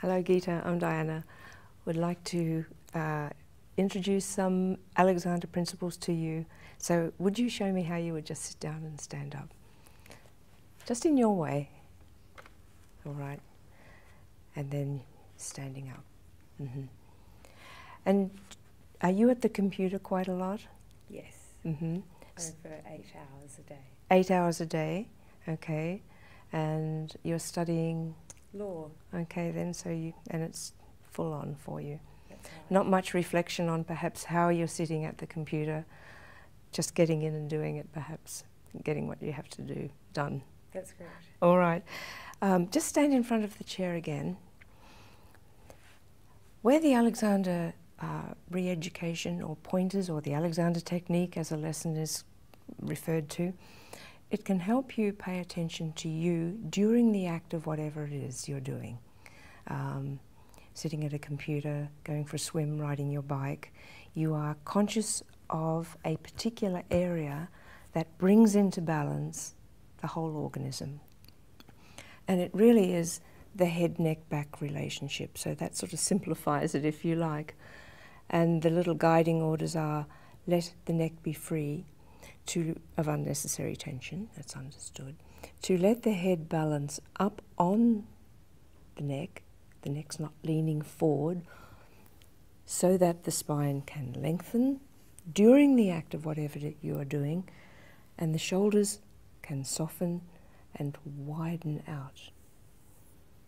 Hello, Geeta. I'm Diana. Would like to uh, introduce some Alexander principles to you. So, would you show me how you would just sit down and stand up? Just in your way all right, and then standing up. Mm-hmm. And are you at the computer quite a lot? Yes. Mm-hmm. Over eight hours a day. Eight hours a day, okay. And you're studying? Law. Okay, then, so you, and it's full on for you. Not much reflection on perhaps how you're sitting at the computer, just getting in and doing it perhaps getting what you have to do done. That's great. All right. Um, just stand in front of the chair again. Where the Alexander uh, re education or pointers or the Alexander technique as a lesson is referred to, it can help you pay attention to you during the act of whatever it is you're doing. Um, sitting at a computer, going for a swim, riding your bike, you are conscious of a particular area that brings into balance the whole organism. And it really is the head neck back relationship. So that sort of simplifies it, if you like. And the little guiding orders are let the neck be free of unnecessary tension, that's understood, to let the head balance up on the neck, the neck's not leaning forward so that the spine can lengthen during the act of whatever you are doing and the shoulders can soften and widen out.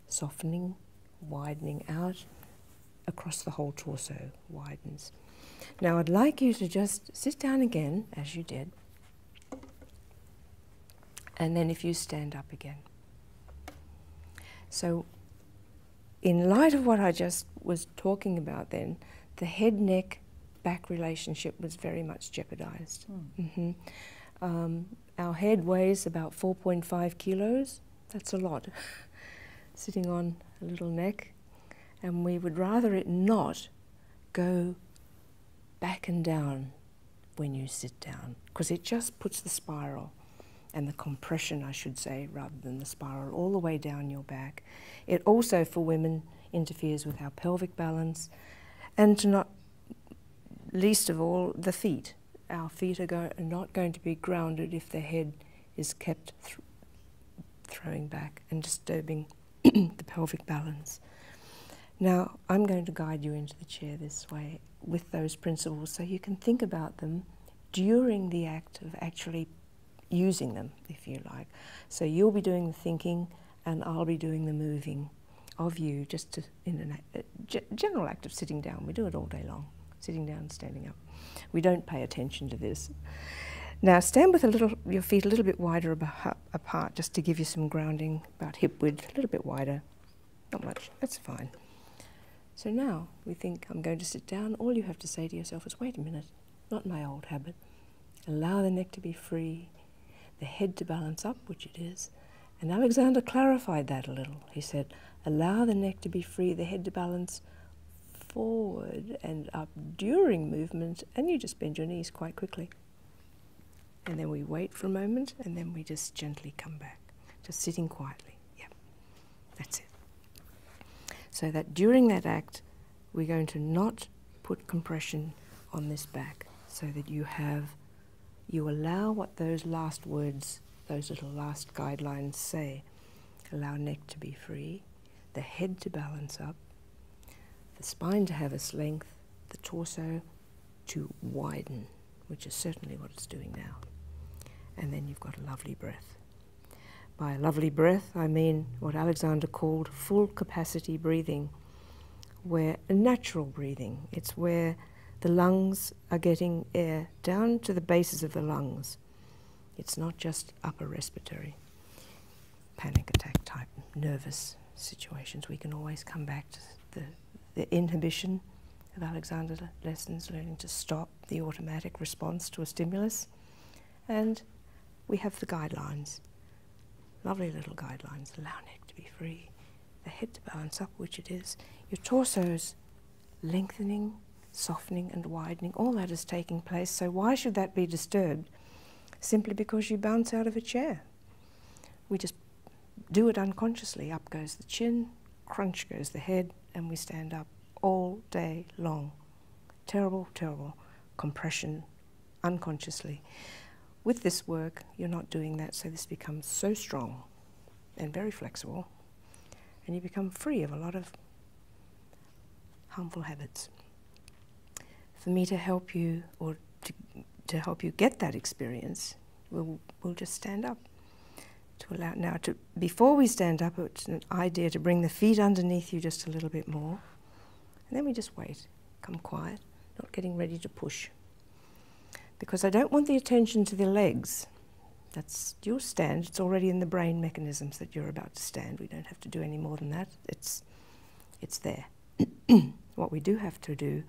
Softening, widening out across the whole torso widens. Now I'd like you to just sit down again as you did and then if you stand up again. So in light of what I just was talking about then, the head neck back relationship was very much jeopardized. Hmm. Mm-hmm. Um, our head weighs about 4.5 kilos, that's a lot, sitting on a little neck, and we would rather it not go back and down when you sit down because it just puts the spiral and the compression, I should say, rather than the spiral, all the way down your back. It also, for women, interferes with our pelvic balance, and not least of all, the feet. Our feet are, not going to be grounded if the head is kept throwing back and disturbing the pelvic balance. Now, I'm going to guide you into the chair this way with those principles so you can think about them during the act of actually using them, if you like. So you'll be doing the thinking and I'll be doing the moving of you just in a uh, general act of sitting down. We do it all day long, sitting down, standing up. We don't pay attention to this. Now stand with a little, your feet a little bit wider apart just to give you some grounding, about hip width, a little bit wider. Not much, that's fine. So now we think I'm going to sit down. All you have to say to yourself is, wait a minute, not my old habit. Allow the neck to be free, the head to balance up, which it is. And Alexander clarified that a little. He said, allow the neck to be free, the head to balance forward and up during movement, and you just bend your knees quite quickly. And then we wait for a moment, and then we just gently come back, just sitting quietly. Yep, that's it. So that during that act, we're going to not put compression on this back so that you have, you allow what those last words, those little last guidelines say. Allow neck to be free, the head to balance up, the spine to have its length, the torso to widen which is certainly what it's doing now. And then you've got a lovely breath. By a lovely breath, I mean what Alexander called full capacity breathing, where natural breathing, it's where the lungs are getting air down to the bases of the lungs. It's not just upper respiratory panic attack type nervous situations. We can always come back to the, inhibition of Alexander lessons, learning to stop the automatic response to a stimulus. And we have the guidelines, lovely little guidelines, allow neck to be free, the head to balance up, which it is, your torso's lengthening, softening and widening, all that is taking place. So why should that be disturbed? Simply because you bounce out of a chair. We just do it unconsciously. Up goes the chin, crunch goes the head, and we stand up all day long. Terrible, terrible compression unconsciously. With this work, you're not doing that, so this becomes so strong and very flexible, and you become free of a lot of harmful habits. For me to help you or to, to help you get that experience, we'll, we'll just stand up to allow now to before we stand up, it's an idea to bring the feet underneath you just a little bit more. And then we just wait, come quiet, not getting ready to push. Because I don't want the attention to the legs. That's your stand, it's already in the brain mechanisms that you're about to stand. We don't have to do any more than that. It's, it's there. what we do have to do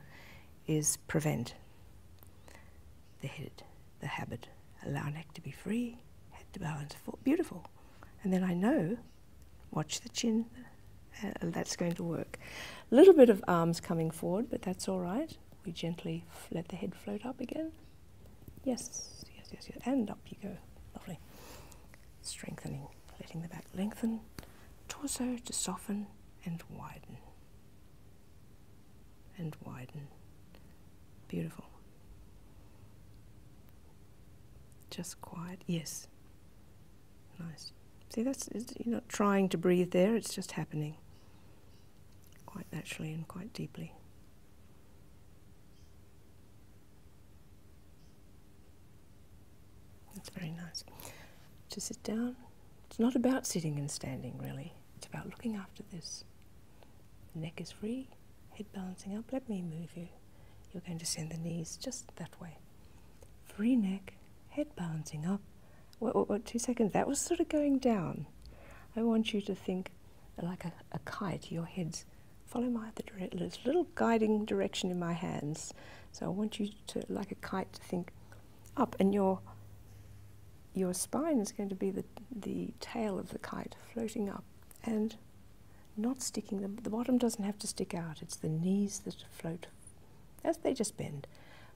is prevent the head, the habit, allow neck to be free, head to balance, beautiful. And then I know, watch the chin, uh, that's going to work. A little bit of arms coming forward, but that's all right. We gently let the head float up again. Yes, yes, yes, yes. And up you go. Lovely. Strengthening, letting the back lengthen, torso to soften and widen and widen. Beautiful. Just quiet. Yes. Nice. See, that's you're not trying to breathe there, it's just happening quite naturally and quite deeply. That's very nice. To sit down, it's not about sitting and standing really, it's about looking after this. Neck is free, head balancing up. Let me move you. You're going to send the knees just that way. Free neck, head balancing up. What, two seconds. That was sort of going down. I want you to think like a, kite, your head's follow my little guiding direction in my hands. So I want you to, like a kite, to think up and you're your spine is going to be the, the tail of the kite floating up and not sticking them. The bottom doesn't have to stick out. It's the knees that float as they just bend.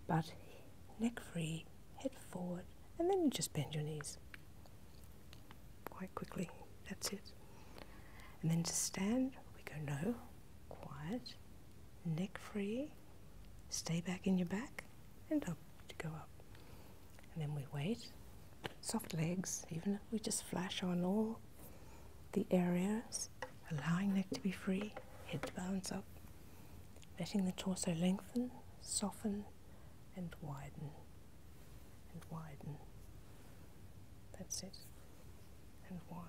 But neck free, head forward, and then you just bend your knees quite quickly. That's it. And then to stand, we go no, quiet, neck free, stay back in your back, and up to go up. And then we wait. Soft legs, even if we just flash on all the areas, allowing neck to be free, head to bounce up, letting the torso lengthen, soften, and widen, and widen. That's it, and wide.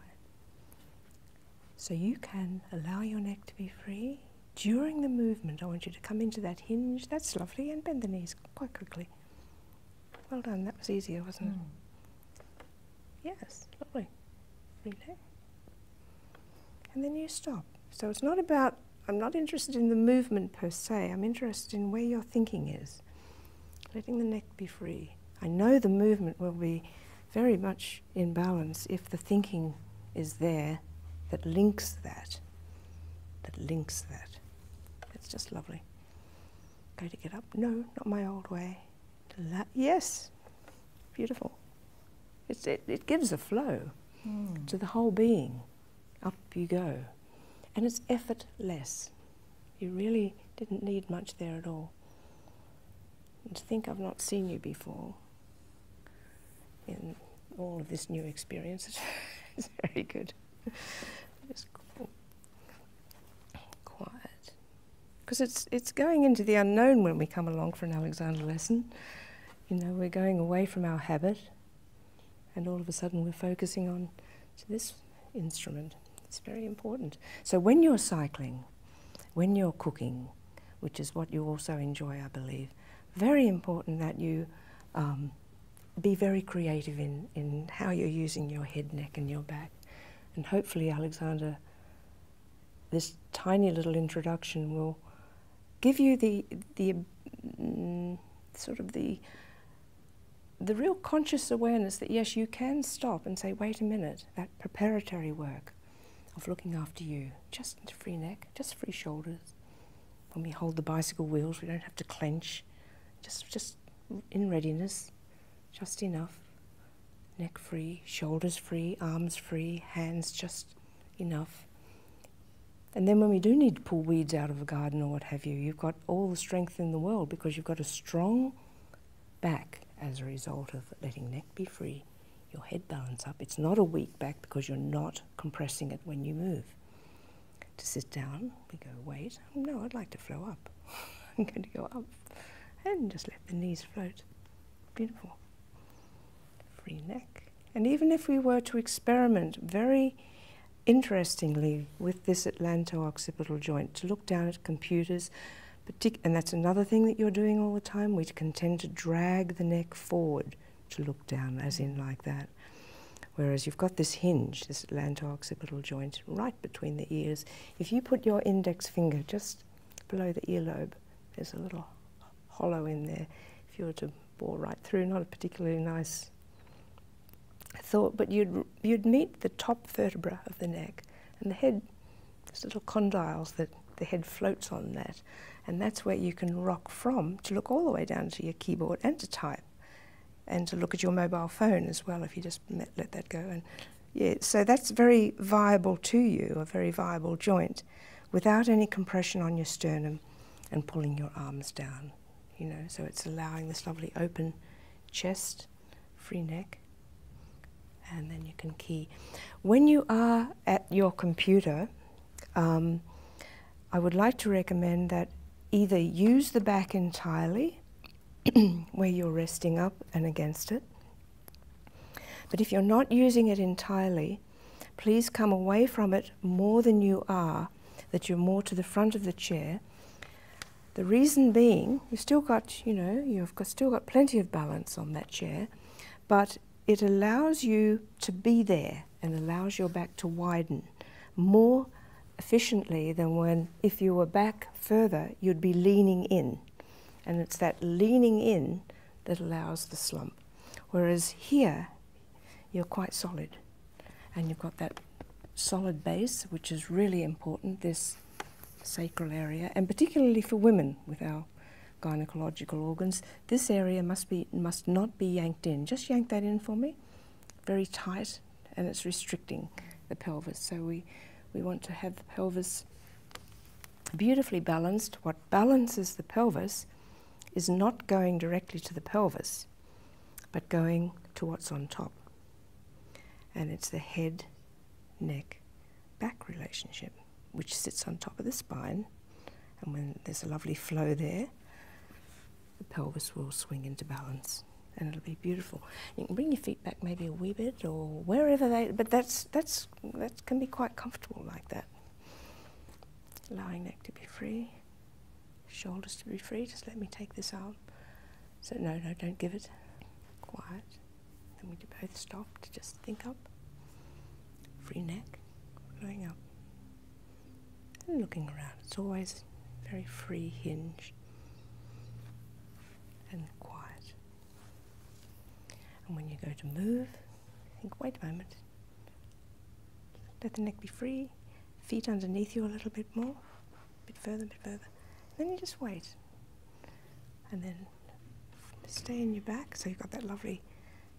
So you can allow your neck to be free during the movement, I want you to come into that hinge. That's lovely. And bend the knees quite quickly. Well done. That was easier, wasn't it? Hmm. Yes, lovely. Relax. And then you stop. So it's not about, I'm not interested in the movement per se. I'm interested in where your thinking is. Letting the neck be free. I know the movement will be very much in balance if the thinking is there that links that that links that. It's just lovely. Go to get up. No, not my old way. yes, beautiful. It's, it, gives a flow hmm. to the whole being. Up you go. And it's effortless. You really didn't need much there at all. And to think I've not seen you before in all of this new experience. it's very good. It's cool. quiet. Because it's, it's going into the unknown when we come along for an Alexander lesson. You know, we're going away from our habit, and all of a sudden we're focusing on this instrument. It's very important. So when you're cycling, when you're cooking, which is what you also enjoy, I believe, very important that you um, be very creative in, in how you're using your head, neck, and your back. And hopefully, Alexander, this tiny little introduction will give you the, the mm, sort of the, the real conscious awareness that yes, you can stop and say, wait a minute, that preparatory work of looking after you, just chest free neck, just free shoulders. When we hold the bicycle wheels, we don't have to clench. Just, just in readiness, just enough. Neck free, shoulders free, arms free, hands just enough. And then when we do need to pull weeds out of a garden or what have you, you've got all the strength in the world because you've got a strong back as a result of letting neck be free, your head balance up. It's not a weak back because you're not compressing it when you move to sit down. We go, wait, no, I'd like to flow up. I'm going to go up and just let the knees float. Beautiful. Free neck. And even if we were to experiment very interestingly with this atlanto-occipital joint, to look down at computers, and that's another thing that you're doing all the time, we tend to drag the neck forward to look down, as in like that. Whereas you've got this hinge, this lanto joint right between the ears. If you put your index finger just below the earlobe, there's a little hollow in there. If you were to bore right through, not a particularly nice thought, but you'd, you'd meet the top vertebra of the neck and the head, these little condyles that the head floats on that. And that's where you can rock from to look all the way down to your keyboard and to type and to look at your mobile phone as well if you just let that go. And yeah, so that's very viable to you, a very viable joint, without any compression on your sternum and pulling your arms down. You know, so it's allowing this lovely open chest, free neck, and then you can key. When you are at your computer, um, I would like to recommend that either use the back entirely where you're resting up and against it. But if you're not using it entirely, please come away from it more than you are, that you're more to the front of the chair. The reason being, you've still got, you know, you've still got plenty of balance on that chair, but it allows you to be there and allows your back to widen more efficiently than when, if you were back further, you'd be leaning in. And it's that leaning in that allows the slump. Whereas here, you're quite solid and you've got that solid base, which is really important, this sacral area, and particularly for women with our gynecological organs, this area must be must not be yanked in. Just yank that in for me very tight and it's restricting the pelvis. So we, we want to have the pelvis beautifully balanced. What balances the pelvis is not going directly to the pelvis, but going to what's on top. And it's the head, neck, back relationship, which sits on top of the spine. And when there's a lovely flow there, the pelvis will swing into balance and it'll be beautiful. You can bring your feet back maybe a wee bit or wherever they, but that's, that's, that can be quite comfortable like that. Allowing neck to be free, shoulders to be free. Just let me take this arm. So no, no, don't give it. Quiet. Then we do both stop to just think up. Free neck, going up looking around. It's always very free hinge and quiet. And when you go to move, think, wait a moment. Let the neck be free, feet underneath you a little bit more, a bit further, a bit further. then you just wait. And then stay in your back, so you've got that lovely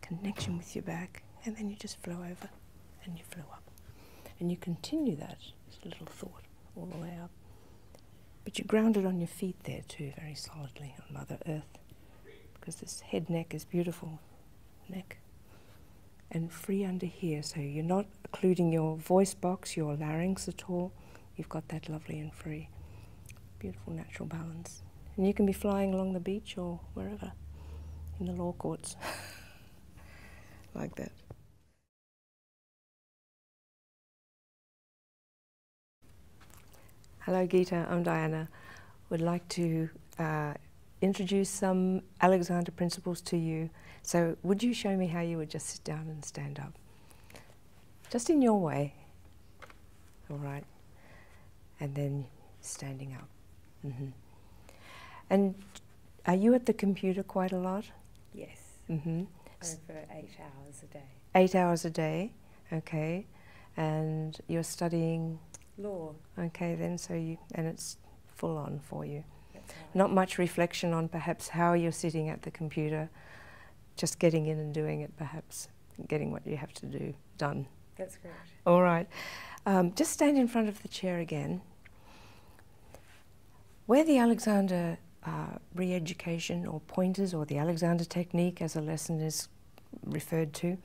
connection with your back, and then you just flow over and you flew up. And you continue that little thought all the way up. But you're grounded on your feet there too, very solidly on Mother Earth, because this head neck is beautiful neck. And free under here, so you're not occluding your voice box, your larynx at all. You've got that lovely and free, beautiful natural balance. And you can be flying along the beach or wherever, in the law courts. like that. Hello, Geeta. I'm Diana. Would like to uh, introduce some Alexander principles to you. So, would you show me how you would just sit down and stand up? Just in your way. All right. And then standing up. Mm-hmm. And are you at the computer quite a lot? Yes. Mm-hmm. Over eight hours a day. Eight hours a day, okay. And you're studying? Law. Okay, then, so you, and it's full on for you. Not much reflection on perhaps how you're sitting at the computer, just getting in and doing it perhaps, getting what you have to do done. That's great. All right. Um, just stand in front of the chair again. Where the Alexander uh, re education or pointers or the Alexander technique, as a lesson is referred to,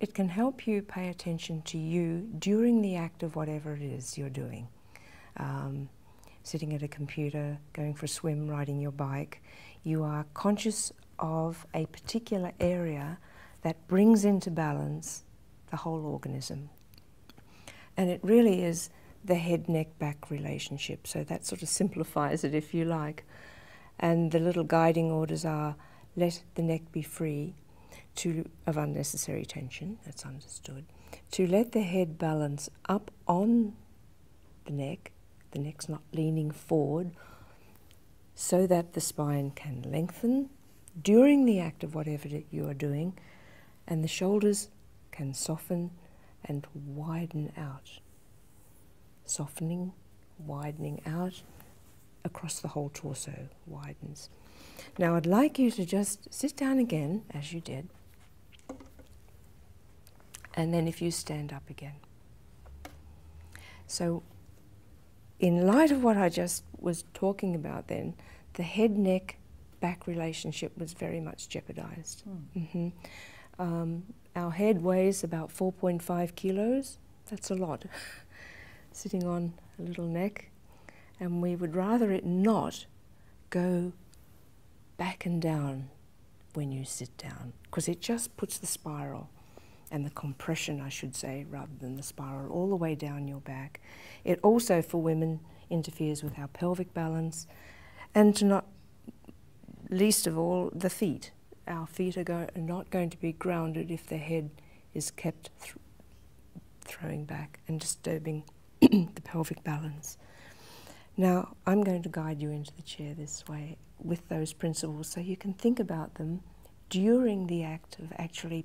it can help you pay attention to you during the act of whatever it is you're doing. Um, sitting at a computer, going for a swim, riding your bike, you are conscious of a particular area that brings into balance the whole organism. And it really is the head neck back relationship. So that sort of simplifies it, if you like. And the little guiding orders are let the neck be free to, of unnecessary tension, that's understood, to let the head balance up on the neck, the neck's not leaning forward, so that the spine can lengthen during the act of whatever you are doing, and the shoulders can soften and widen out. Softening, widening out across the whole torso widens. Now, I'd like you to just sit down again as you did, and then if you stand up again. So, in light of what I just was talking about then, the head neck back relationship was very much jeopardized. Hmm. Mm-hmm. Um, our head weighs about 4.5 kilos, that's a lot, sitting on a little neck, and we would rather it not go back and down when you sit down because it just puts the spiral and the compression, I should say, rather than the spiral, all the way down your back it also, for women, interferes with our pelvic balance, and not least of all, the feet. Our feet are, not going to be grounded if the head is kept throwing back and disturbing the pelvic balance. Now, I'm going to guide you into the chair this way with those principles so you can think about them during the act of actually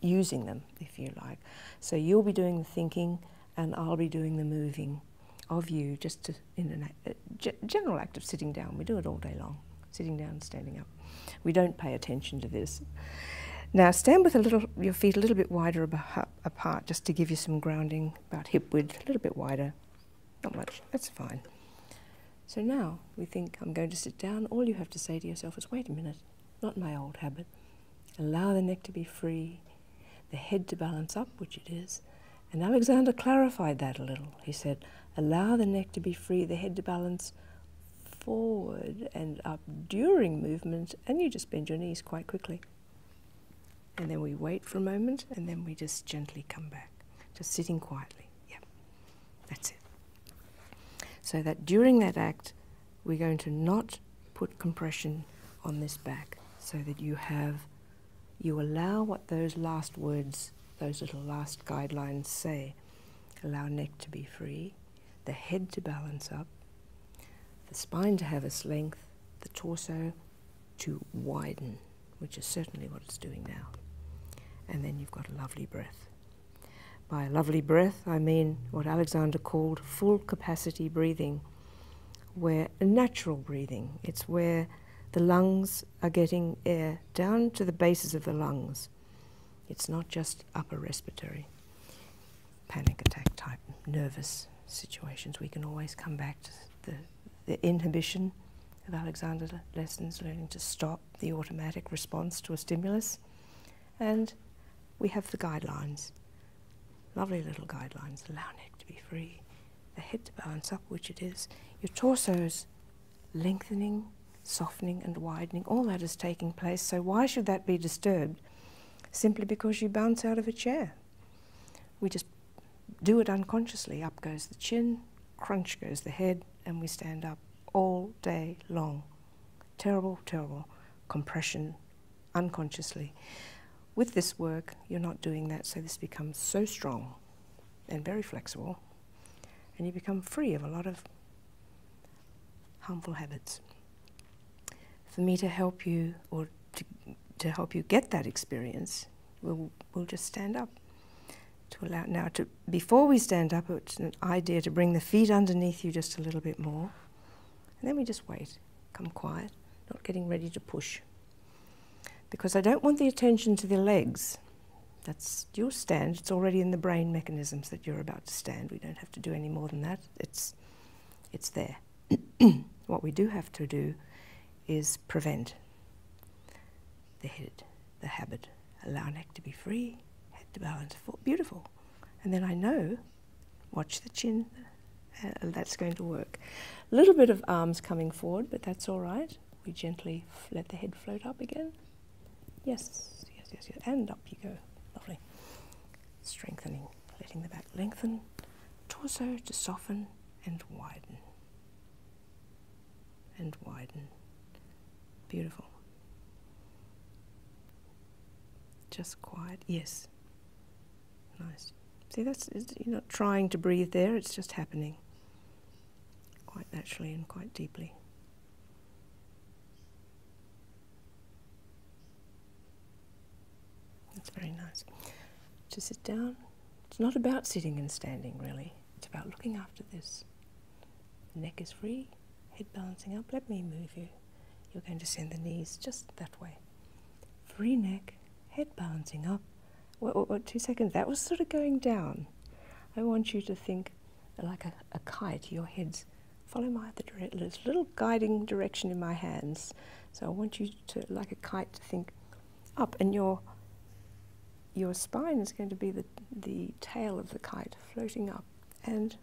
using them, if you like. So you'll be doing the thinking and I'll be doing the moving of you just in a uh, general act of sitting down. We do it all day long, sitting down and standing up. We don't pay attention to this. Now stand with a little, your feet a little bit wider apart just to give you some grounding, about hip width, a little bit wider, not much, that's fine. So now we think, I'm going to sit down. All you have to say to yourself is, wait a minute, not my old habit. Allow the neck to be free, the head to balance up, which it is. And Alexander clarified that a little. He said, Allow the neck to be free, the head to balance forward and up during movement, and you just bend your knees quite quickly. And then we wait for a moment, and then we just gently come back, just sitting quietly. Yeah. That's it. So that during that act, we're going to not put compression on this back so that you have, you allow what those last words, those little last guidelines say. Allow neck to be free, the head to balance up, the spine to have its length, the torso to widen, which is certainly what it's doing now. And then you've got a lovely breath. By lovely breath, I mean what Alexander called full capacity breathing, where natural breathing, it's where the lungs are getting air down to the bases of the lungs. It's not just upper respiratory panic attack type nervous situations. We can always come back to the, the inhibition of Alexander lessons, learning to stop the automatic response to a stimulus, and we have the guidelines. Lovely little guidelines. Allow neck to be free, the head to balance up, which it is. Your torso's lengthening, softening, and widening. All that is taking place. So, why should that be disturbed? Simply because you bounce out of a chair. We just do it unconsciously. Up goes the chin, crunch goes the head, and we stand up all day long terrible, terrible compression unconsciously. With this work, you're not doing that, so this becomes so strong and very flexible, and you become free of a lot of harmful habits. For me to help you or to, to help you get that experience, we'll, we'll just stand up to allow. Now, to, before we stand up, it's an idea to bring the feet underneath you just a little bit more and then we just wait, come quiet, not getting ready to push. Because I don't want the attention to the legs. That's your stand, it's already in the brain mechanisms that you're about to stand. We don't have to do any more than that. It's, it's there. what we do have to do is prevent the head, the habit. Allow neck to be free, head to balance. Beautiful. And then I know, watch the chin, uh, that's going to work. A little bit of arms coming forward, but that's all right. We gently let the head float up again. Yes, yes, yes, yes. And up you go. Lovely. Strengthening, letting the back lengthen, torso to soften and widen. And widen. Beautiful. Just quiet. Yes. Nice. See, that's you're not trying to breathe there, it's just happening quite naturally and quite deeply. That's very nice. To sit down, it's not about sitting and standing really, it's about looking after this. neck is free, head balancing up. Let me move you. You're going to send the knees just that way. Free neck, head balancing up. What, what, what, two seconds? That was sort of going down. I want you to think like a, kite, your head's follow my other little guiding direction in my hands. So I want you to, like a kite, to think up, and your your spine is going to be the the tail of the kite floating up, and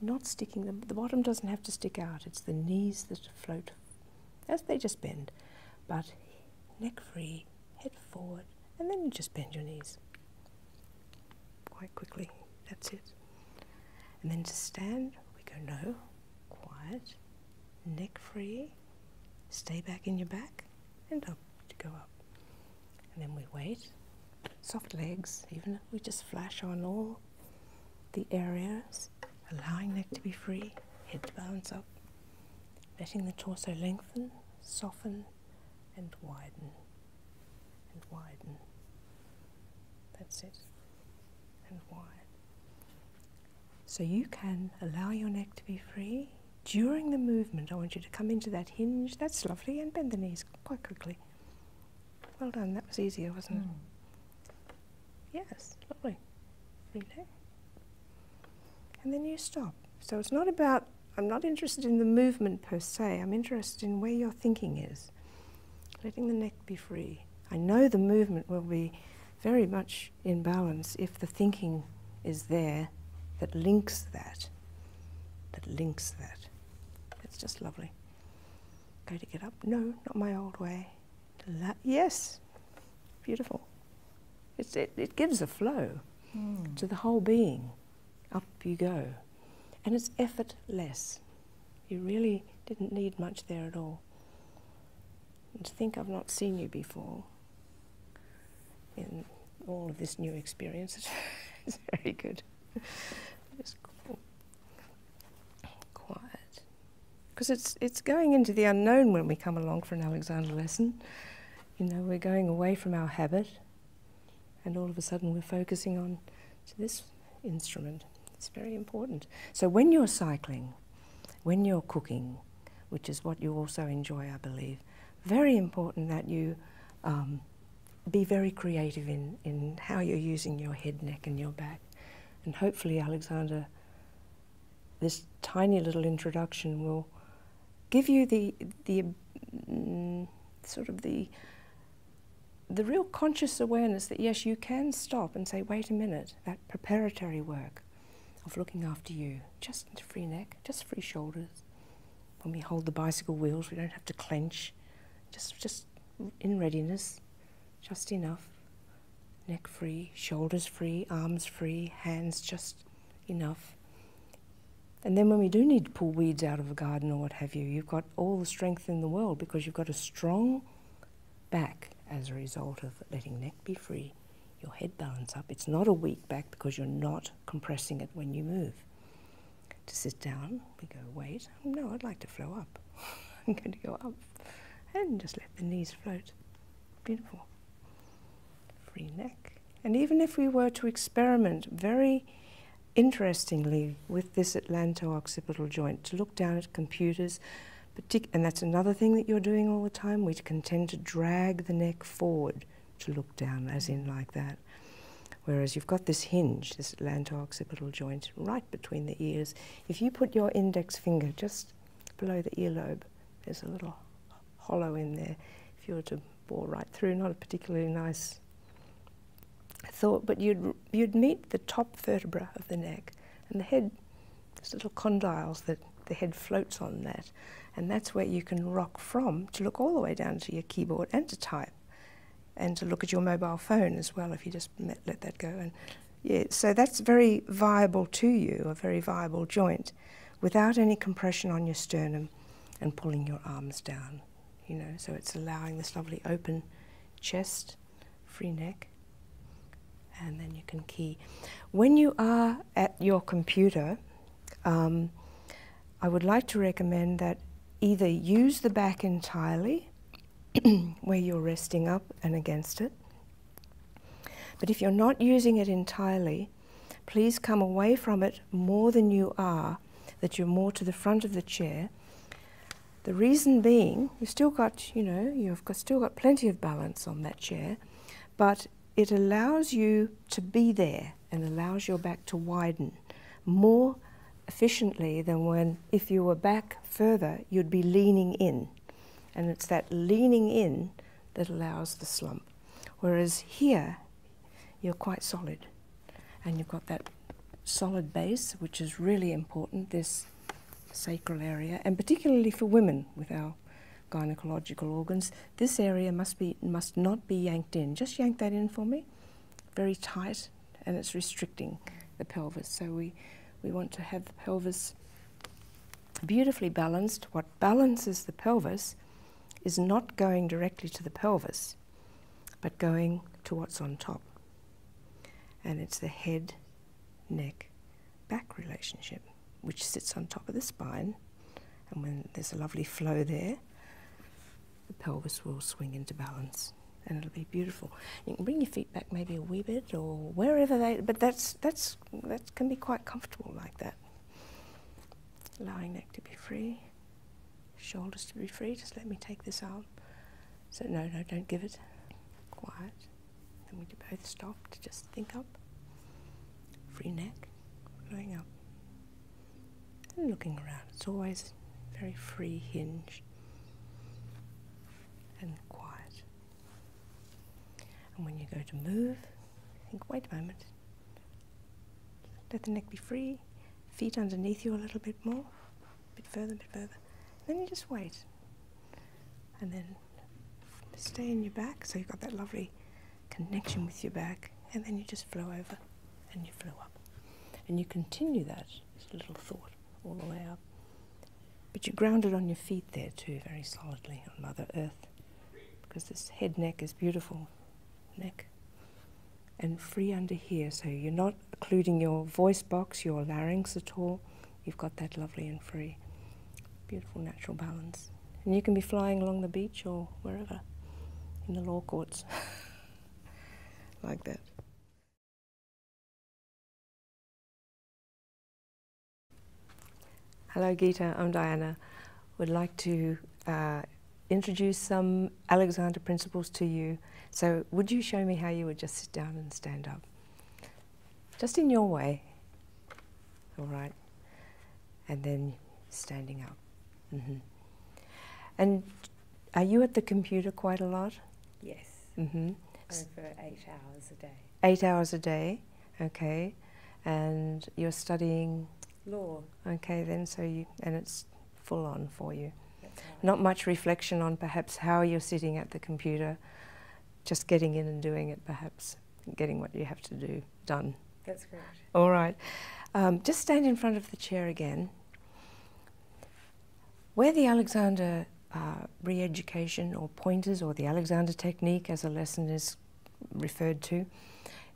not sticking them. The bottom doesn't have to stick out. It's the knees that float as they just bend. But neck free, head forward, and then you just bend your knees quite quickly. That's it. And then to stand, we go no, quiet, neck free, stay back in your back, and up to go up. And then we wait soft legs, even if we just flash on all the areas, allowing neck to be free, head to bounce up, letting the torso lengthen, soften, and widen, and widen. That's it, and wide. So you can allow your neck to be free. During the movement, I want you to come into that hinge. That's lovely, and bend the knees quite quickly. Well done, that was easier, wasn't it? Hmm. Yes, lovely. Really? And then you stop. So it's not about, I'm not interested in the movement per se, I'm interested in where your thinking is. Letting the neck be free. I know the movement will be very much in balance if the thinking is there that links that, that links that. It's just lovely. Go to get up. No, not my old way. La yes, beautiful. it, it gives a flow hmm. to the whole being. Up you go. And it's effortless. You really didn't need much there at all. And to think I've not seen you before in all of this new experience, it's very good. Just quiet. Because it's, it's going into the unknown when we come along for an Alexander lesson. You know, we're going away from our habit, and all of a sudden we're focusing on this instrument. It's very important. So when you're cycling, when you're cooking, which is what you also enjoy, I believe, very important that you um, be very creative in, in how you're using your head, neck, and your back. And hopefully, Alexander, this tiny little introduction will give you the, the mm, sort of the, the real conscious awareness that yes, you can stop and say, wait a minute, that preparatory work of looking after you, just free neck, just free shoulders. When we hold the bicycle wheels, we don't have to clench. Just, just in readiness, just enough. Neck free, shoulders free, arms free, hands just enough. And then when we do need to pull weeds out of a garden or what have you, you've got all the strength in the world because you've got a strong back as a result of letting neck be free, your head balance up. It's not a weak back because you're not compressing it when you move to sit down. We go, wait, no, I'd like to flow up. I'm going to go up and just let the knees float. Beautiful. Free neck. And even if we were to experiment very interestingly with this atlanto-occipital joint, to look down at computers, and that's another thing that you're doing all the time, we tend to drag the neck forward to look down, as in like that. Whereas you've got this hinge, this atlanto-occipital joint, right between the ears. If you put your index finger just below the earlobe, there's a little hollow in there. If you were to bore right through, not a particularly nice thought, but you'd, you'd meet the top vertebra of the neck and the head, there's little condyles that the head floats on that. And that's where you can rock from to look all the way down to your keyboard and to type and to look at your mobile phone as well if you just let, that go. And yeah, so that's very viable to you, a very viable joint, without any compression on your sternum and pulling your arms down. You know, so it's allowing this lovely open chest, free neck, and then you can key. When you are at your computer, um, I would like to recommend that either use the back entirely where you're resting up and against it. But if you're not using it entirely, please come away from it more than you are, that you're more to the front of the chair. The reason being, you've still got, you know, you've got, still got plenty of balance on that chair, but it allows you to be there and allows your back to widen more efficiently than when, if you were back further, you'd be leaning in. And it's that leaning in that allows the slump. Whereas here, you're quite solid. And you've got that solid base, which is really important, this sacral area, and particularly for women with our gynecological organs, this area must be must not be yanked in. Just yank that in for me very tight and it's restricting the pelvis. So we, we want to have the pelvis beautifully balanced. What balances the pelvis is not going directly to the pelvis, but going to what's on top. And it's the head, neck, back relationship, which sits on top of the spine. And when there's a lovely flow there, the pelvis will swing into balance and it'll be beautiful. You can bring your feet back maybe a wee bit or wherever they, but that's, that's, that can be quite comfortable like that. Allowing neck to be free, shoulders to be free. Just let me take this arm. So no, no, don't give it. Quiet. Then we do both stop to just think up. Free neck, going up. And looking around. It's always very free hinged and quiet. And when you go to move, think, wait a moment. Let the neck be free, feet underneath you a little bit more, a bit further, a bit further. then you just wait. And then stay in your back, so you've got that lovely connection with your back. And then you just flow over and you flow up. And you continue that just a little thought all the way up. But you're grounded on your feet there too, very solidly on Mother Earth, because this head neck is beautiful. Neck. And free under here, so you're not occluding your voice box, your larynx at all. You've got that lovely and free, beautiful natural balance. And you can be flying along the beach or wherever, in the law courts, like that. Hello, Geeta. I'm Diana. Would like to uh, introduce some Alexander principles to you. So, would you show me how you would just sit down and stand up? Just in your way. All right. And then standing up. Mm-hmm. And are you at the computer quite a lot? Yes. Mm-hmm. Over eight hours a day. Eight hours a day, okay. And you're studying? Law. Okay, then, so you, and it's full on for you. Not much reflection on perhaps how you're sitting at the computer, just getting in and doing it perhaps, getting what you have to do done. That's correct. All right. Um, just stand in front of the chair again. Where the Alexander uh, re-education or pointers or the Alexander technique as a lesson is referred to,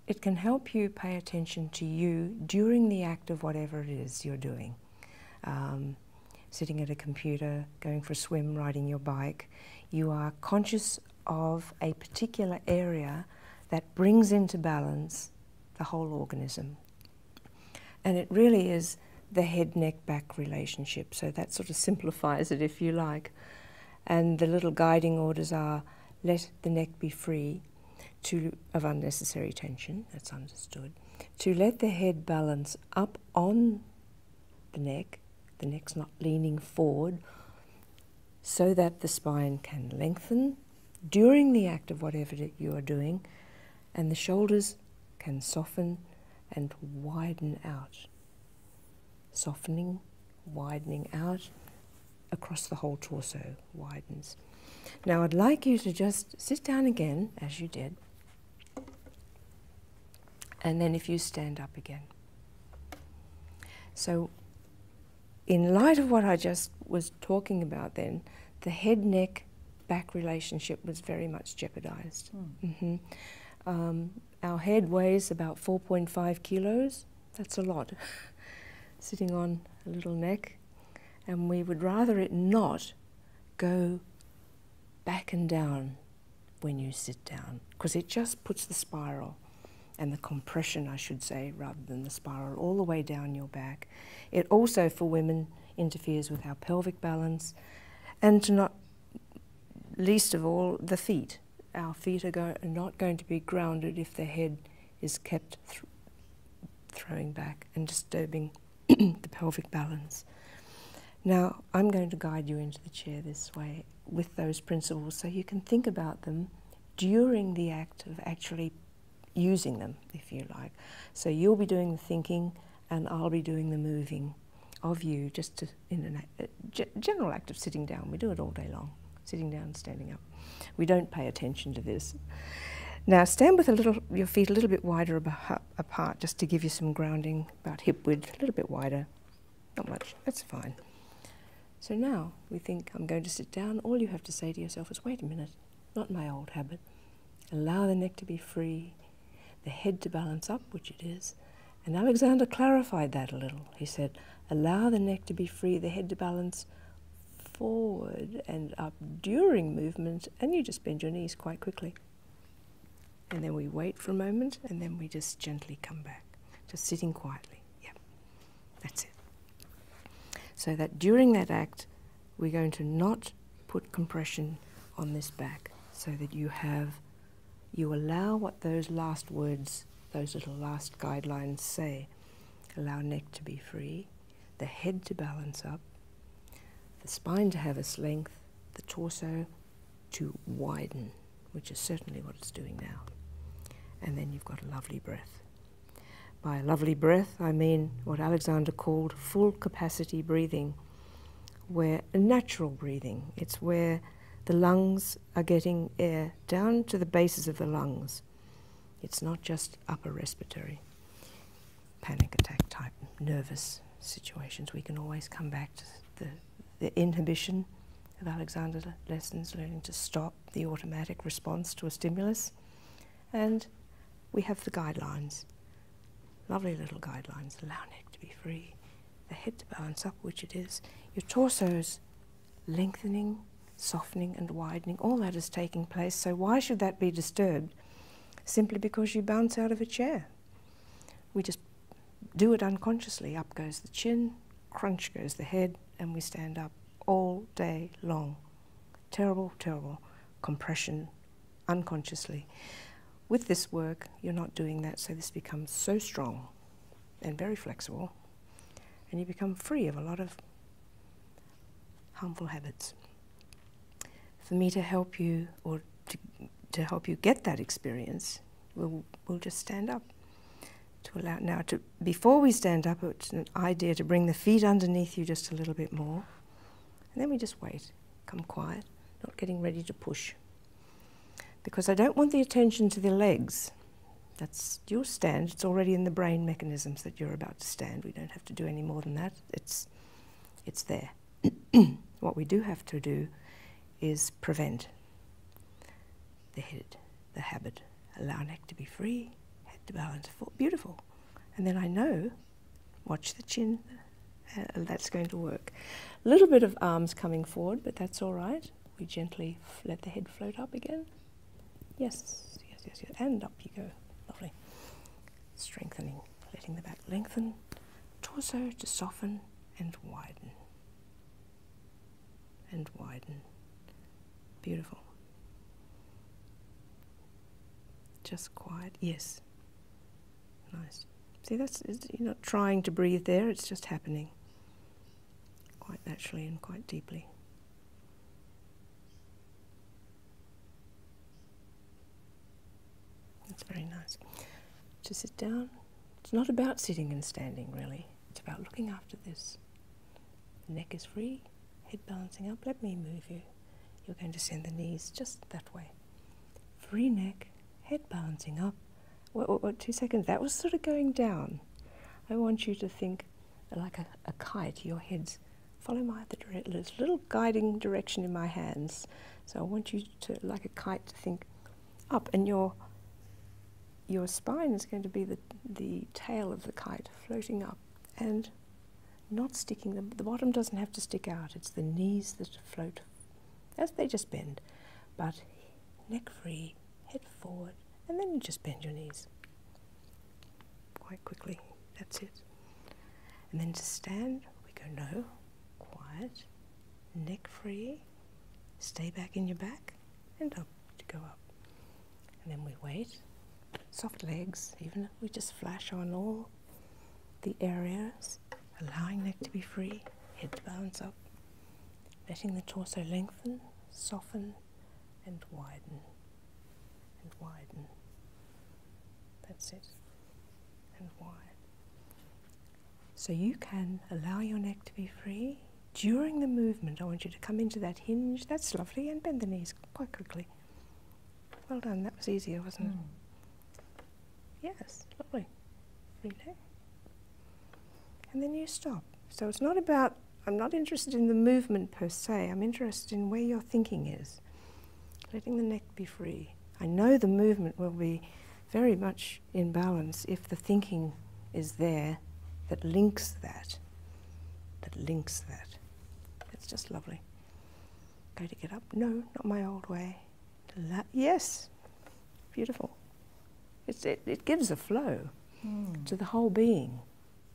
it can help you pay attention to you during the act of whatever it is you're doing. Um, sitting at a computer, going for a swim, riding your bike, you are conscious of a particular area that brings into balance the whole organism. And it really is the head neck back relationship. So that sort of simplifies it, if you like. And the little guiding orders are let the neck be free to, of unnecessary tension, that's understood. To let the head balance up on the neck, the neck's not leaning forward, so that the spine can lengthen during the act of whatever you are doing and the shoulders can soften and widen out. Softening, widening out across the whole torso widens. Now I'd like you to just sit down again as you did and then if you stand up again. So in light of what I just was talking about then, the head, neck back relationship was very much jeopardized. Hmm. Mm-hmm. Um, our head weighs about 4.5 kilos. That's a lot, sitting on a little neck. And we would rather it not go back and down when you sit down, because it just puts the spiral and the compression, I should say, rather than the spiral, all the way down your back. It also, for women, interferes with our pelvic balance arms, and not least of all the feet. Our feet are, not going to be grounded if the head is kept throwing back and disturbing the pelvic balance. Now, I'm going to guide you into the chair this way with those principles so you can think about them during the act of actually using them, if you like. So you'll be doing the thinking, and I'll be doing the moving of you just in a uh, general act of sitting down. We do it all day long, sitting down, standing up. We don't pay attention to this. Now stand with a little, your feet a little bit wider apart just to give you some grounding, about hip width, a little bit wider, not much, that's fine. So now we think I'm going to sit down, all you have to say to yourself is wait a minute, not my old habit. Allow the neck to be free, the head to balance up, which it is. And Alexander clarified that a little. He said, allow the neck to be free, the head to balance forward and up during movement, and you just bend your knees quite quickly. And then we wait for a moment, and then we just gently come back, just sitting quietly. Yeah, that's it. So that during that act, we're going to not put compression on this back so that you have, you allow what those last words, those little last guidelines say. Allow neck to be free, the head to balance up, the spine to have its length, the torso to widen, which is certainly what it's doing now. And then you've got a lovely breath. By a lovely breath, I mean what Alexander called full capacity breathing, where natural breathing, it's where the lungs are getting air down to the bases of the lungs. It's not just upper respiratory panic attack type nervous situations. We can always come back to the, inhibition of Alexander lessons, learning to stop the automatic response to a stimulus. And we have the guidelines. Lovely little guidelines. Allow neck to be free, the head to balance up, which it is. Your torso's lengthening, softening, and widening. All that is taking place. So, why should that be disturbed? Simply because you bounce out of a chair. We just do it unconsciously. Up goes the chin, crunch goes the head, and we stand up all day long. Terrible, terrible compression unconsciously. With this work, you're not doing that, so this becomes so strong and very flexible, and you become free of a lot of harmful habits. For me to help you or to, to help you get that experience, we'll, we'll just stand up to allow now to before we stand up it's an idea to bring the feet underneath you just a little bit more and then we just wait come quiet, not getting ready to push. Because I don't want the attention to the legs. That's your stand, it's already in the brain mechanisms that you're about to stand. We don't have to do any more than that, it's, it's there. what we do have to do is prevent the head, the habit, allow neck to be free, head to balance, beautiful. And then I know Watch the chin, uh, that's going to work. A little bit of arms coming forward, but that's all right. We gently let the head float up again. Yes, yes, yes, yes. And up you go. Lovely. Strengthening, letting the back lengthen, torso to soften and widen. And widen. Beautiful. Just quiet. Yes. Nice. See, that's you're not trying to breathe there, it's just happening quite naturally and quite deeply. That's very nice. To sit down, it's not about sitting and standing really, it's about looking after this. neck is free, head balancing up. Let me move you. You're going to send the knees just that way. Free neck, head balancing up. What, what, what, two seconds? That was sort of going down. I want you to think like a, a kite, your head's follow my little guiding direction in my hands. So I want you to, like a kite, to think up, and your your spine is going to be the the tail of the kite floating up and not sticking. The, the bottom doesn't have to stick out. It's the knees that float as they just bend, but neck free, head forward, and then you just bend your knees quite quickly. That's it. And then to stand, we go no, quiet, neck free, stay back in your back, and up to go up. And then we wait, soft legs, even if we just flash on all the areas, allowing neck to be free, head to bounce up, letting the torso lengthen, soften, and widen, and widen. That's it, and wide. So you can allow your neck to be free. During the movement, I want you to come into that hinge. That's lovely, and bend the knees quite quickly. Well done, that was easier, wasn't it? Hmm. Yes, lovely. Relax. And then you stop. So it's not about, I'm not interested in the movement per se, I'm interested in where your thinking is. Letting the neck be free. I know the movement will be very much in balance if the thinking is there that links that, that links that. It's just lovely. Go to get up. No, not my old way yes, beautiful. it, it gives a flow hmm. to the whole being.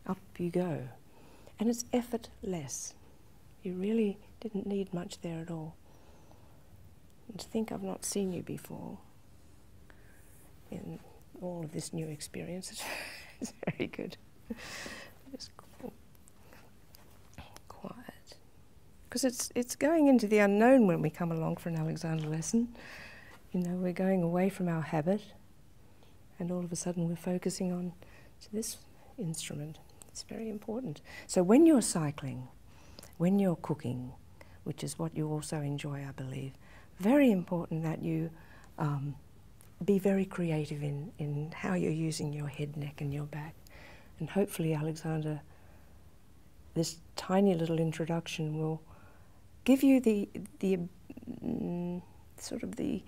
Up you go. And it's effortless. You really didn't need much there at all. And to think I've not seen you before in all of this new experience, it's very good. Just quiet. Because it's, it's going into the unknown when we come along for an Alexander lesson. You know, we're going away from our habit, and all of a sudden we're focusing on this instrument. It's very important. So when you're cycling, when you're cooking, which is what you also enjoy, I believe, very important that you um, be very creative in, in how you're using your head, neck, and your back. And hopefully, Alexander this tiny little introduction will give you the the mm, sort of the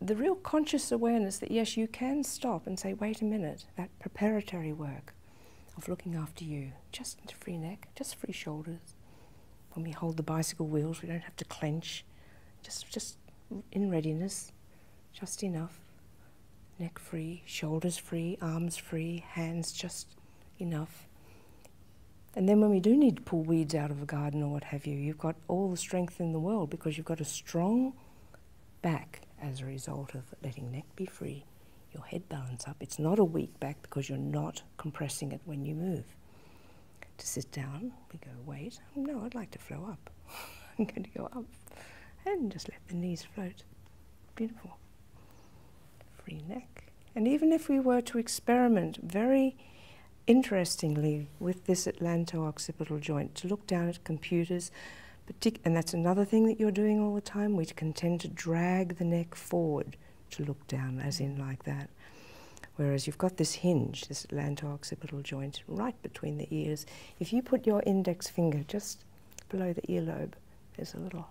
the real conscious awareness that yes, you can stop and say, wait a minute, that preparatory work of looking after you, just free neck, just free shoulders. When we hold the bicycle wheels, we don't have to clench, just just in readiness just enough. Neck free, shoulders free, arms free, hands just enough. And then when we do need to pull weeds out of a garden or what have you, you've got all the strength in the world because you've got a strong back as a result of letting neck be free, your head balances up. It's not a weak back because you're not compressing it when you move. To sit down, we go, wait, no, I'd like to flow up. I'm going to go up and just let the knees float. Beautiful. Free neck. And even if we were to experiment very interestingly with this atlanto-occipital joint, to look down at computers, and that's another thing that you're doing all the time, we can tend to drag the neck forward to look down, as in like that. Whereas you've got this hinge, this atlanto-occipital joint, right between the ears. If you put your index finger just below the earlobe. There's a little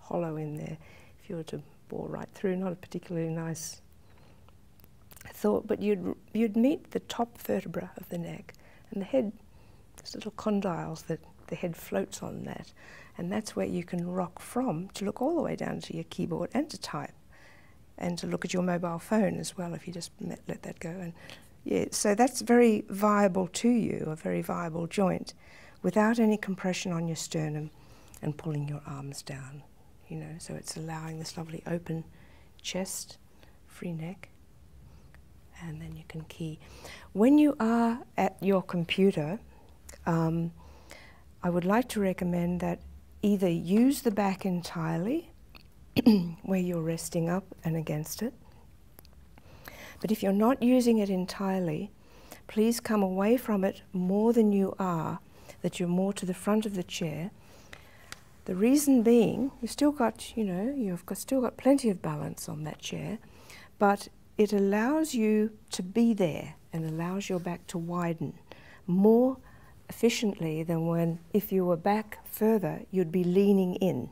hollow in there if you were to bore right through. Not a particularly nice thought, but you'd, you'd meet the top vertebra of the neck and the head, there's little condyles that the head floats on that. And that's where you can rock from to look all the way down to your keyboard and to type and to look at your mobile phone as well if you just let that go and yeah, so that's very viable to you, a very viable joint, without any compression on your sternum and pulling your arms down. You know, so it's allowing this lovely open chest, free neck, and then you can key. When you are at your computer, um, I would like to recommend that either use the back entirely where you're resting up and against it, but if you're not using it entirely, please come away from it more than you are, that you're more to the front of the chair. The reason being, you've still got, you know, you've still got plenty of balance on that chair, but it allows you to be there and allows your back to widen more efficiently than when, if you were back further, you'd be leaning in.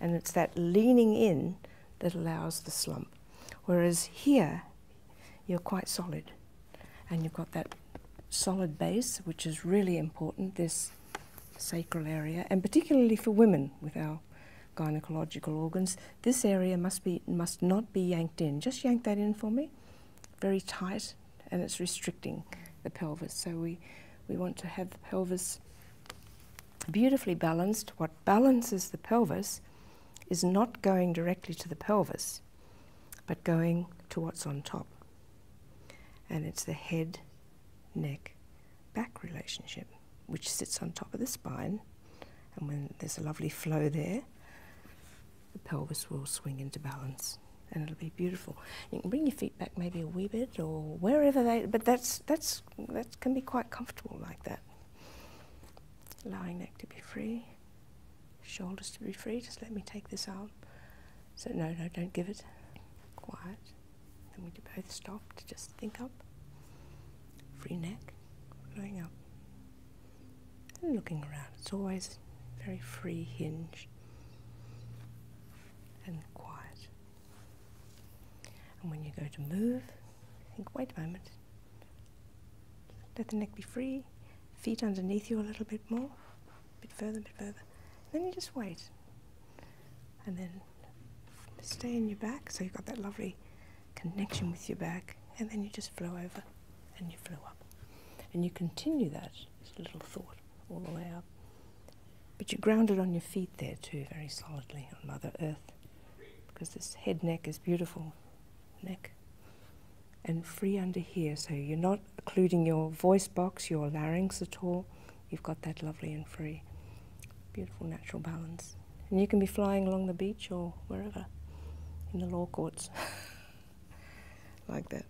And it's that leaning in that allows the slump. Whereas here, you're quite solid. And you've got that solid base, which is really important, this sacral area, and particularly for women with our gynecological organs, this area must be must not be yanked in. Just yank that in for me. Very tight and it's restricting the pelvis. So we, we want to have the pelvis beautifully balanced. What balances the pelvis is not going directly to the pelvis, but going to what's on top. And it's the head, neck, back relationship, which sits on top of the spine. And when there's a lovely flow there, the pelvis will swing into balance and it'll be beautiful. You can bring your feet back maybe a wee bit or wherever they, but that's, that's that can be quite comfortable like that. Allowing neck to be free, shoulders to be free. Just let me take this out. So no, no, don't give it. Quiet. Then we both stop to just think up. Free neck, going up. And looking around. It's always very free hinge and quiet. And when you go to move, think, wait a moment. Let the neck be free, feet underneath you a little bit more, a bit further, a bit further. Then you just wait. And then stay in your back, so you've got that lovely connection with your back, and then you just flow over and you flow up. And you continue that little thought all the way up but you're grounded on your feet there too, very solidly on Mother Earth, because this head neck is beautiful. Neck. And free under here, so you're not occluding your voice box, your larynx at all. You've got that lovely and free. Beautiful natural balance. And you can be flying along the beach or wherever, in the law courts, like that.